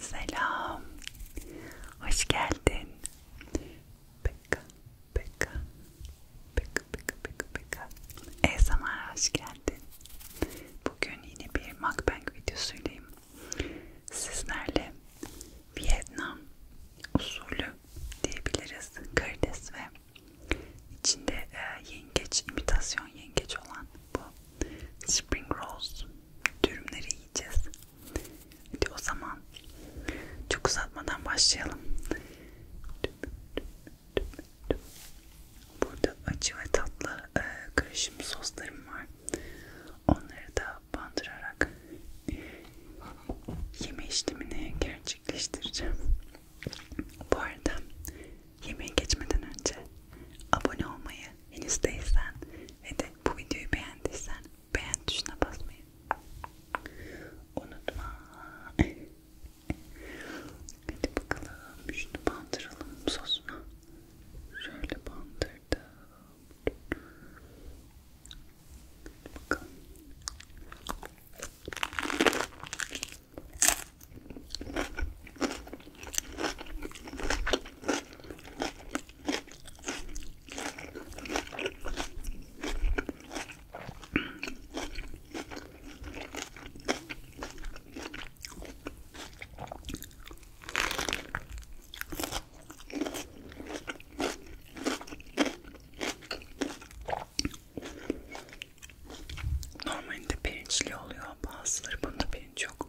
Selam, hoş geldin. Pekka, Pekka, Pekka, Pekka, Pekka, Pekka. ASMR'a hoş geldin. Bugün yine bir mukbang videosuyleyim. Sizlerle Vietnam usulü diyebiliriz. Karides ve içinde e, yengeç, imitasyon yengeç olan bu spring rolls dürümleri yiyeceğiz. Hadi o zaman çok uzatmadan başlayalım. Burada acı ve tatlı e, karışım soslarım var. Onları da bandırarak yeme işlemini gerçekleştireceğim. Bu arada yemeğe geçmeden önce abone olmayı henüz değilsen ve de bu videoyu beğendiysen beğen tuşuna basmayı unutma. Hadi bakalım şunu bandıralım sosuna. Şöyle bandırdım. Bakalım. Normalde pirinçli oluyor bazıları bunda pirinç yok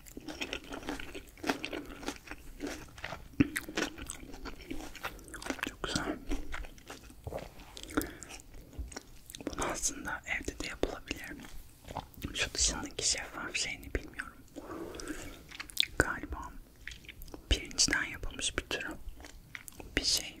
Çok güzel. Bunu aslında evde de yapılabilir. Şu dışındaki şeffaf şeyini bilmiyorum. Galiba pirinçten yapılmış bir türü bir şey.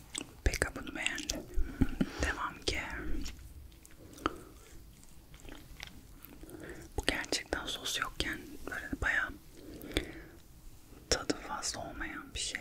Peka bunu beğendim. Devam ki. Bu gerçekten sos yokken böyle bayağı tadı fazla olmayan bir şey.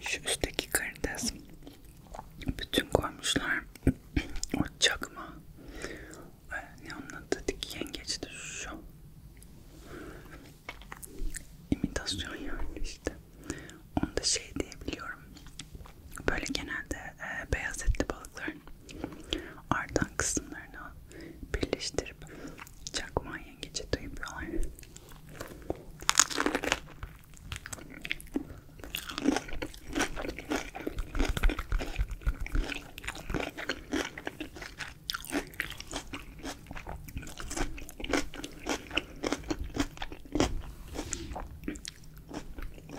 Şu üstteki karides bütün koymuşlar. O çakma. Ne anlattı ki yengeçti şu. İmitasyon yani işte. Onu da şey diyebiliyorum. Böyle genelde e, beyaz etli balıkların artan kısımlarını birleştirip çakma yengeci de yapıyorlar.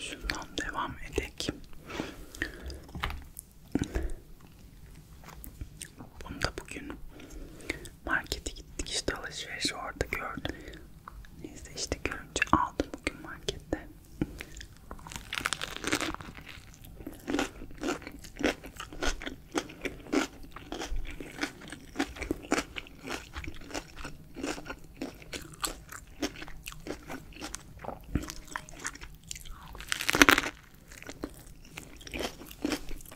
Şundan devam edek. Bunu da bugün Markete gittik işte alışveriş orada gördüm. Neyse işte görünce aldım bugün markette.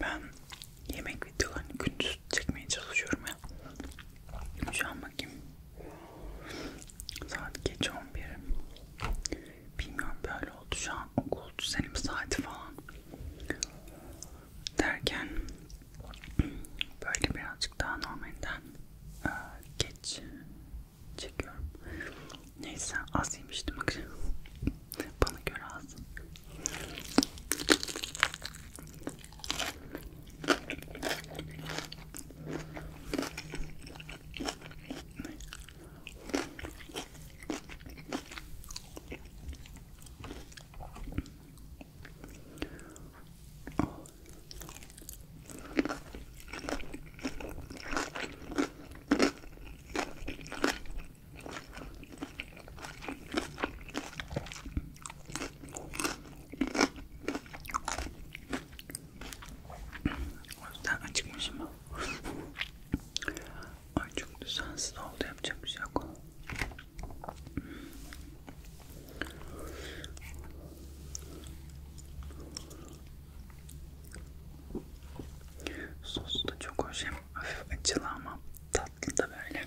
Ben yemek videolarını gündüz çekmeye çalışıyorum ya. Şu an bakayım. Saat geç 11. Bilmiyorum böyle oldu şu an okul senin saati falan derken Böyle birazcık daha normalinden e, geç çekiyorum. Neyse az yemiştim Bana göre az. O yüzden açıkmışım. Ay çok düzensiz oldu yapacak bir şey yok. Sosu da çok hoş hem hafif acılı ama tatlı da böyle.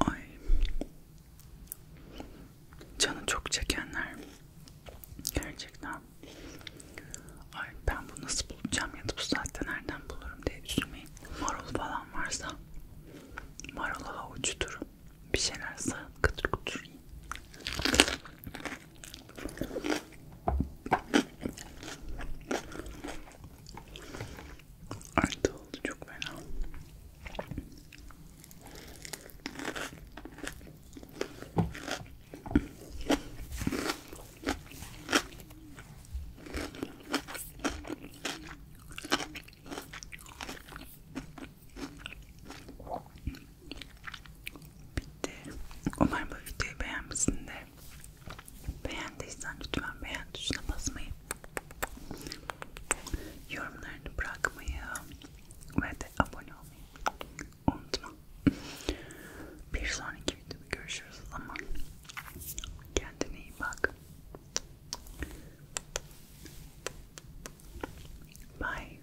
Ay. Canı çok çekenler. Gerçekten. Ay ben bunu nasıl bulacağım ya da bu saatte nereden bulurum diye üzülmeyin. Marul falan varsa marul havucudur. Bir şeyler sağ kıtır kıtır yiyin. Artı oldu çok fena. Bitti. Umarım bu videoyu beğenmişsindir. Beğendiysen lütfen beğen tuşuna basmayı, yorumlarını bırakmayı ve de abone olmayı unutma. Bir sonraki videoda görüşürüz o zaman. Kendine iyi bak. Bye.